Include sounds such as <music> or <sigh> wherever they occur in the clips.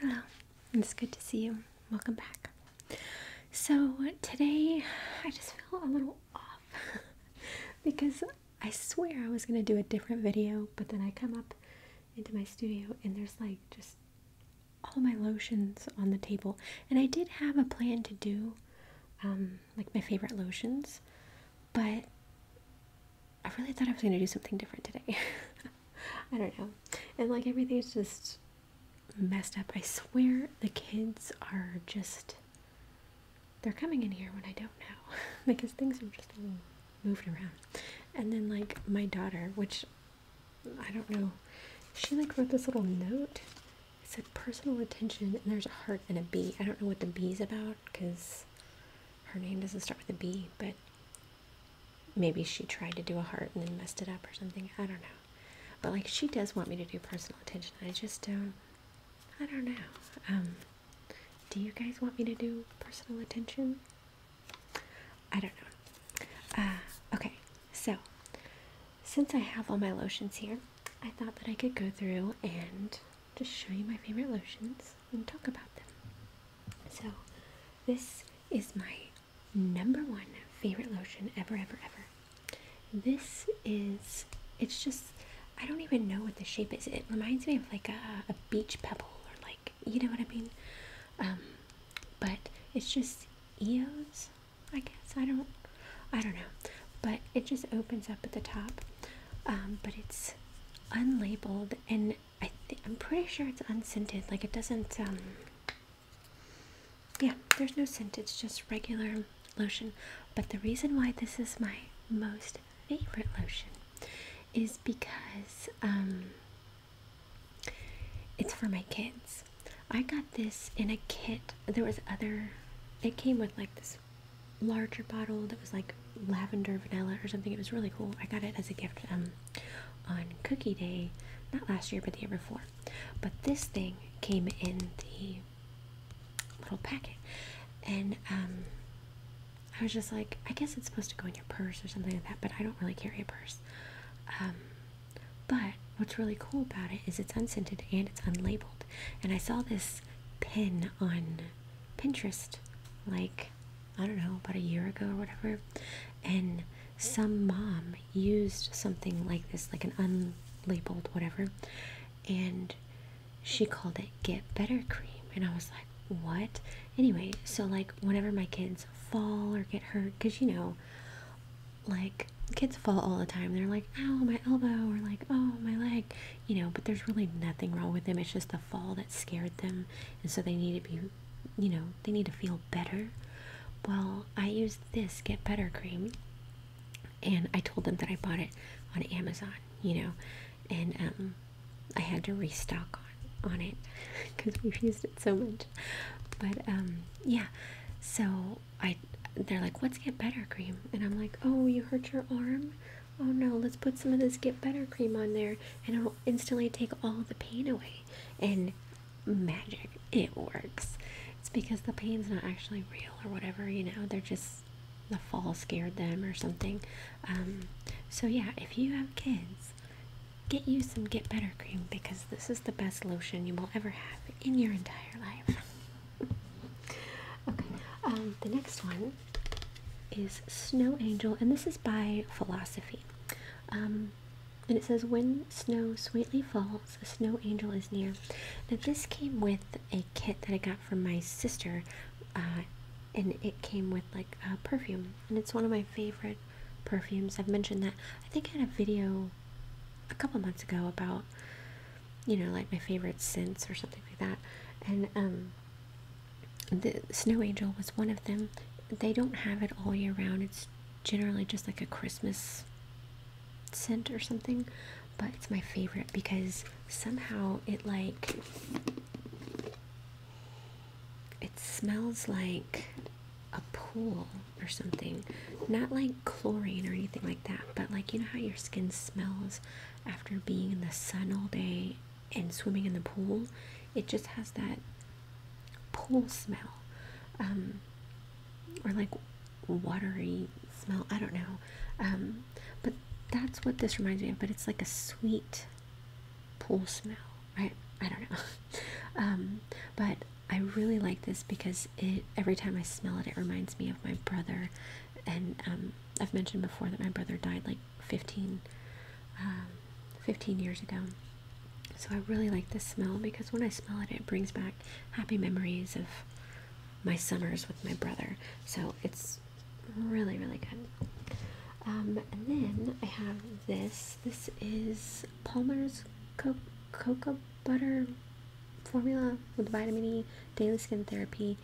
Hello, it's good to see you. Welcome back. So, today I just feel a little off <laughs> because I swear I was going to do a different video, but then I come up into my studio and there's like just all my lotions on the table. And I did have a plan to do um, like my favorite lotions, but I really thought I was going to do something different today. <laughs> I don't know. And like everything's just messed up. I swear the kids are just. They're coming in here when I don't know <laughs> because things are just moved around. And then, like, my daughter, which I don't know, she like wrote this little note. It said personal attention, and there's a heart and a B. I don't know what the B's about because her name doesn't start with a B, but maybe she tried to do a heart and then messed it up or something. I don't know. But like she does want me to do personal attention. I just don't I don't know. Um do you guys want me to do personal attention? I don't know. Uh okay. So, since I have all my lotions here, I thought that I could go through and just show you my favorite lotions and talk about them. So, this is my number one favorite lotion ever, ever, ever. This is, it's just, I don't even know what the shape is. It reminds me of like a, beach pebble or like, you know what I mean? Um, but it's just EOS, I guess. I don't, I don't know. But it just opens up at the top. Um, but it's unlabeled and I th I'm pretty sure it's unscented. Like it doesn't. Um, yeah, there's no scent. It's just regular lotion. But the reason why this is my most favorite lotion is because um, it's for my kids. I got this in a kit. There was other. It came with like this larger bottle that was like lavender vanilla or something. It was really cool. I got it as a gift um, on Cookie Day, not last year, but the year before. But this thing came in the little packet, and um, I was just like, I guess it's supposed to go in your purse or something like that, but I don't really carry a purse. Um, but what's really cool about it is it's unscented and it's unlabeled. And I saw this pin on Pinterest like I don't know, about a year ago or whatever, and some mom used something like this, like an unlabeled whatever, and she called it Get Better Cream. And I was like, what? Anyway, so like whenever my kids fall or get hurt, because you know, like kids fall all the time. They're like, "Oh, my elbow, or like, oh, my leg, you know, but there's really nothing wrong with them. It's just the fall that scared them and so they need to be you know they need to feel better well i use this get better cream and i told them that i bought it on amazon you know and um, i had to restock on on it because <laughs> we've used it so much but um, yeah so i they're like what's get better cream and i'm like oh you hurt your arm oh no, let's put some of this Get Better cream on there and it'll instantly take all the pain away. And magic, it works. It's because the pain's not actually real or whatever, you know, they're just the fall scared them or something. Um, so, yeah, if you have kids, get you some Get Better cream because this is the best lotion you will ever have in your entire life. <laughs> okay, um, the next one is Snow Angel, and this is by Philosophy. Um, and it says, When snow sweetly falls, a snow angel is near. Now, this came with a kit that I got from my sister, uh, and it came with like a perfume, and it's one of my favorite perfumes. I've mentioned that. I think I had a video a couple months ago about, you know, like my favorite scents or something like that. And um, the Snow Angel was one of them. They don't have it all year round. It's generally just like a Christmas scent or something, but it's my favorite because somehow it like it smells like a pool or something. Not like chlorine or anything like that, but like you know how your skin smells after being in the sun all day and swimming in the pool, it just has that pool smell, um, or like watery smell. I don't know, um, but that's what this reminds me of. But it's like a sweet pool smell, right? I don't know, <laughs> um, but I really like this because it every time I smell it, it reminds me of my brother, and I've mentioned before that my brother died like um, 15, years ago. So I really like this smell because when I smell it, it brings back happy memories of my summers with my brother. So it's really, really good. Um, and then I have this. This is Palmer's Co cocoa butter formula with vitamin E Daily skin therapy.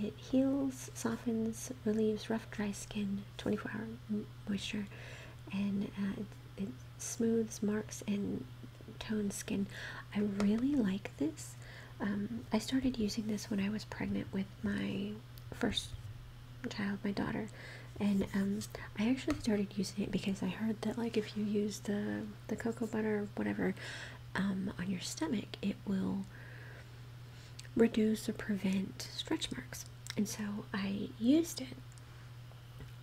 It heals, softens, relieves rough, dry skin, 24 hour moisture, and uh, it, smooths, marks, and tones skin. I really like this. Um, I started using this when I was pregnant with my first child, my daughter, and um, I actually started using it because I heard that like if you use the the cocoa butter or whatever um, on your stomach, it will reduce or prevent stretch marks. And so I used it,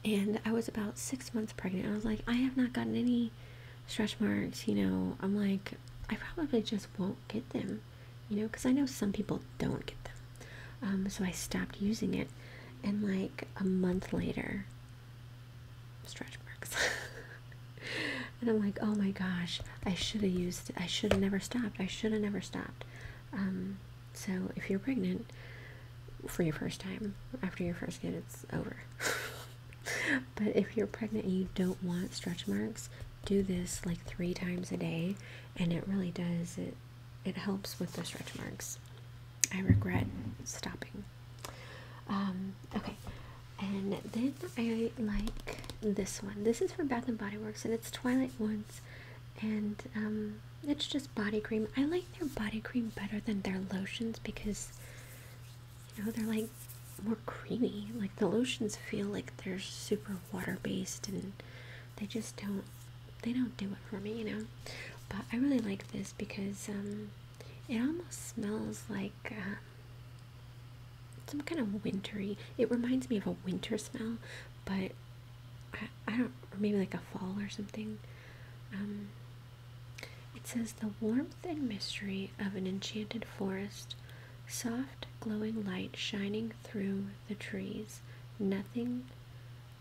and I was about six months pregnant. I was like, I have not gotten any stretch marks, you know. I'm like, I probably just won't get them, you know, because I know some people don't get them. Um, so I stopped using it, and like a month later, stretch marks. <laughs> and I'm like, oh my gosh, I should have used it. I should have never stopped. I should have never stopped. Um, so if you're pregnant for your first time, after your first kid, it's over. <laughs> but if you're pregnant and you don't want stretch marks, do this like three times a day, and it really does. It it helps with the stretch marks. I regret stopping. Um, okay, and then I like this one. This is from Bath and Body Works, and it's Twilight Woods, and um, it's just body cream. I like their body cream better than their lotions because, you know, they're like more creamy. Like the lotions feel like they're super water based, and they just don't they don't do it for me, you know. But I really like this because um, it almost smells like. Uh, some kind of wintry. It reminds me of a winter smell, but I, don't, maybe like a fall or something. Um, it says the warmth and mystery of an enchanted forest, soft glowing light shining through the trees. Nothing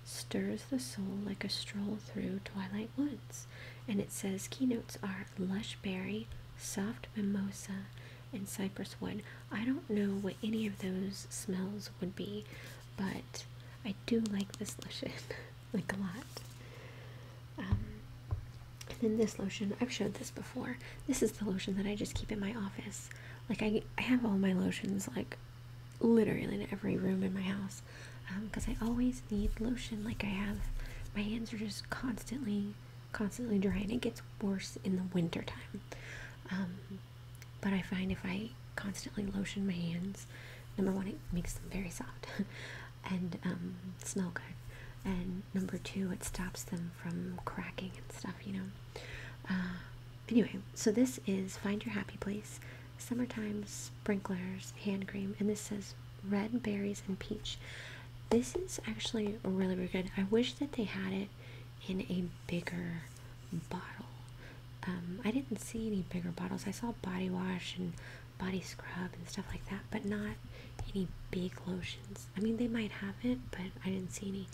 stirs the soul like a stroll through twilight woods. And it says keynotes are lush berry, soft mimosa, and cypress wood. I don't know what any of those smells would be, but I do like this lotion <laughs> like a lot. Um, and then this lotion, I've showed this before. This is the lotion that I just keep in my office. Like I, I have all my lotions like literally in every room in my house because um, I always need lotion like I have. My hands are just constantly, constantly dry, and it gets worse in the winter time. Um, but I find if I constantly lotion my hands, number one, it makes them very soft <laughs> and um, smell good. And number two, it stops them from cracking and stuff, you know. Uh, anyway, so this is Find Your Happy Place, Summertime Sprinklers Hand Cream, and this says red berries and peach. This is actually really, really good. I wish that they had it in a bigger bottle. Um, I didn't see any bigger bottles. I saw body wash and body scrub and stuff like that, but not any big lotions. I mean, they might have it, but I didn't see any.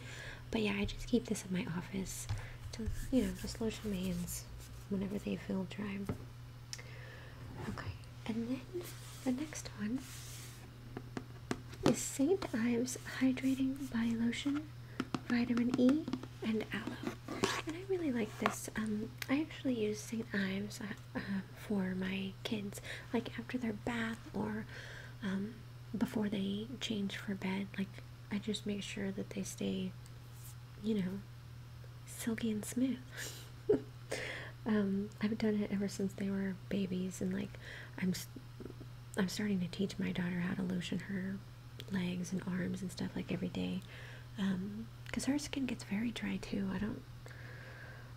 But yeah, I just keep this in my office to, you know, just lotion my hands whenever they feel dry. Okay, and then the next one is St. Ives Hydrating Body Lotion, Vitamin E, and Aloe. And I really like this. Um, I actually use St. Ives uh, uh, for my kids, like after their bath or um, before they change for bed. Like, I just make sure that they stay, you know, silky and smooth. <laughs> Um, I've done it ever since they were babies, and like I'm, I'm starting to teach my daughter how to lotion her legs and arms and stuff like every day, because um, her skin gets very dry too. I don't,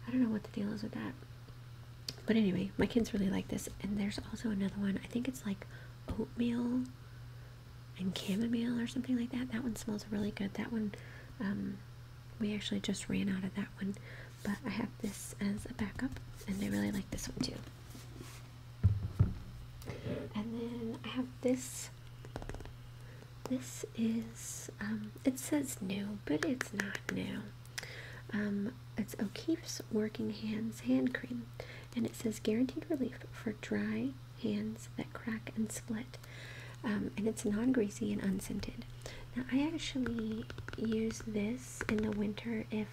I don't know what the deal is with that. But anyway, my kids really like this, and there's also another one. I think it's like oatmeal and chamomile or something like that. That one smells really good. That one um, we actually just ran out of that one, but I have this as a backup, and I really like this one too. And then I have this. This is, um, it says new, but it's not new. Um, it's O'Keefe's Working Hands Hand Cream, and it says guaranteed relief for dry hands that crack and split. Um, and it's non-greasy and unscented. Now I actually use this in the winter if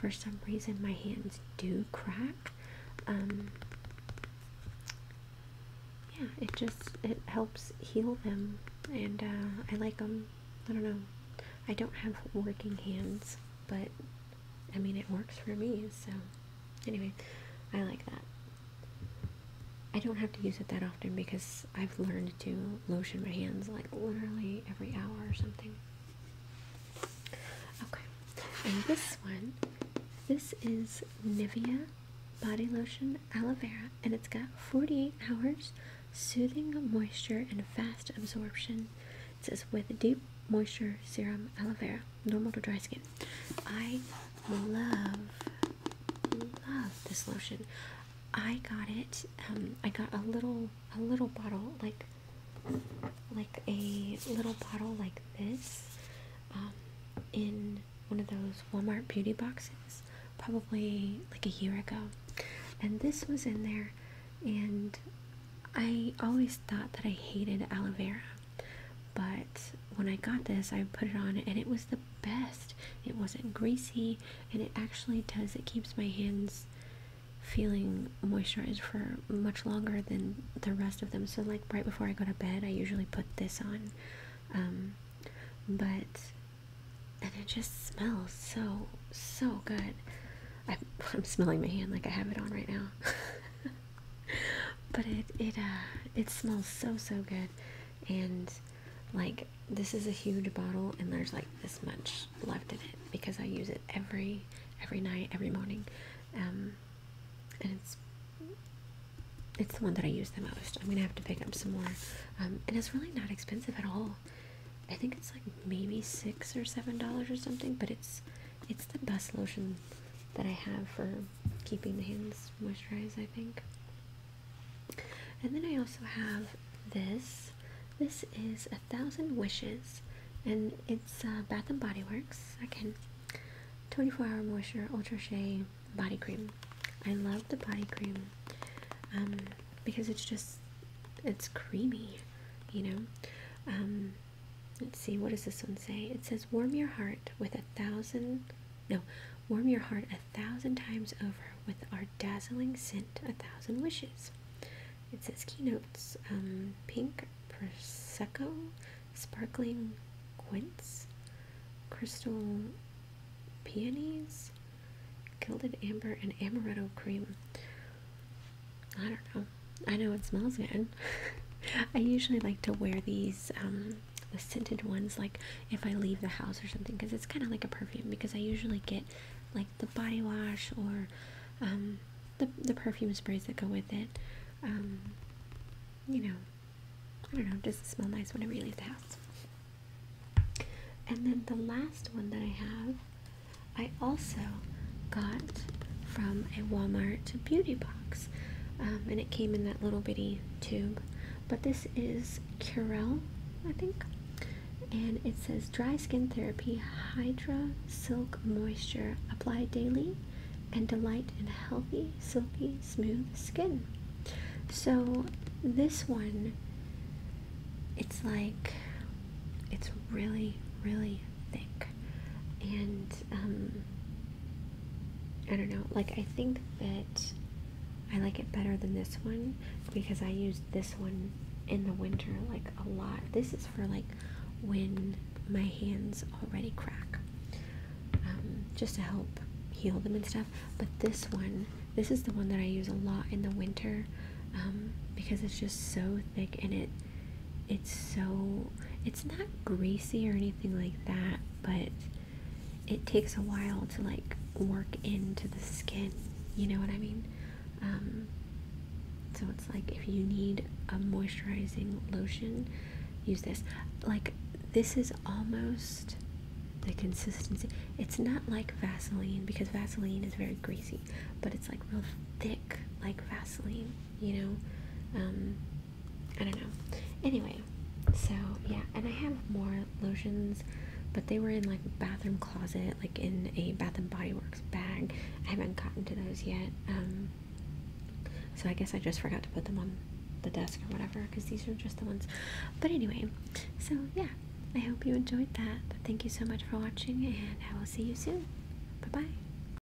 for some reason my hands do crack. Um, yeah, it just it helps heal them, and uh, I like them. I don't know. I don't have working hands, but I mean it works for me. So anyway, I like that. I don't have to use it that often because I've learned to lotion my hands like literally every hour or something. Okay, and this one, this is Nivea Body Lotion Aloe Vera, and it's got 48 hours soothing moisture and fast absorption. It says with deep moisture serum aloe vera, normal to dry skin. I love love this lotion. I got it. Um, I got a little a little bottle like like a little bottle like this um, in one of those Walmart beauty boxes probably like a year ago. And this was in there and I always thought that I hated aloe vera but when I got this, I put it on and it was the best. It wasn't greasy and it actually does, it keeps my hands feeling moisturized for much longer than the rest of them. So, like, right before I go to bed, I usually put this on. Um, but, and it just smells so, so good. I, <laughs> I'm smelling my hand like I have it on right now. <laughs> but it it uh it smells so so good and like this is a huge bottle and there's like this much left in it because I use it every every night every morning um and it's it's the one that I use the most I'm gonna have to pick up some more um and it's really not expensive at all I think it's like maybe six or seven dollars or something but it's it's the best lotion that I have for keeping the hands moisturized, I think. And then I also have this. This is A Thousand Wishes, and it's uh, Bath and Body Works. Again, 24 Hour Moisture Ultra Shea Body Cream. I love the body cream um, because it's just, it's creamy, you know? Um, Let's see, what does this one say? It says, Warm your heart with a thousand, no, warm your heart a thousand times over with our dazzling scent, a thousand wishes. It says keynotes, um, pink prosecco, sparkling quince, crystal peonies, gilded amber, and amaretto cream. I don't know. I know it smells good. <laughs> I usually like to wear these um, scented ones, like if I leave the house or something, because it's kind of like a perfume. Because I usually get like the body wash or um, the the perfume sprays that go with it. Um, you know, I don't know, just smell nice whenever you leave the house. And then the last one that I have, I also got from a Walmart beauty box. Um, and it came in that little bitty tube but this is Curel I think and it says dry skin therapy hydra silk moisture applied daily and delight in healthy silky smooth skin so this one it's like it's really really thick and um, I don't know. Like I think that I like it better than this one because I use this one in the winter like a lot. This is for like when my hands already crack, um, just to help heal them and stuff. But this one, this is the one that I use a lot in the winter um, because it's just so thick and it it's so it's not greasy or anything like that, but it takes a while to like work into the skin. You know what I mean? Um, so it's like if you need a moisturizing lotion, use this. Like this is almost the consistency. It's not like Vaseline because Vaseline is very greasy, but it's like real thick, like Vaseline. You know. Um, I don't know. Anyway, so yeah, and I have more lotions, but they were in like bathroom closet, like in a Bath and Body Works bag. I haven't gotten to those yet. Um, so I guess I just forgot to put them on the desk or whatever because these are just the ones. But anyway, so yeah, I hope you enjoyed that. Thank you so much for watching, and I will see you soon. Bye bye.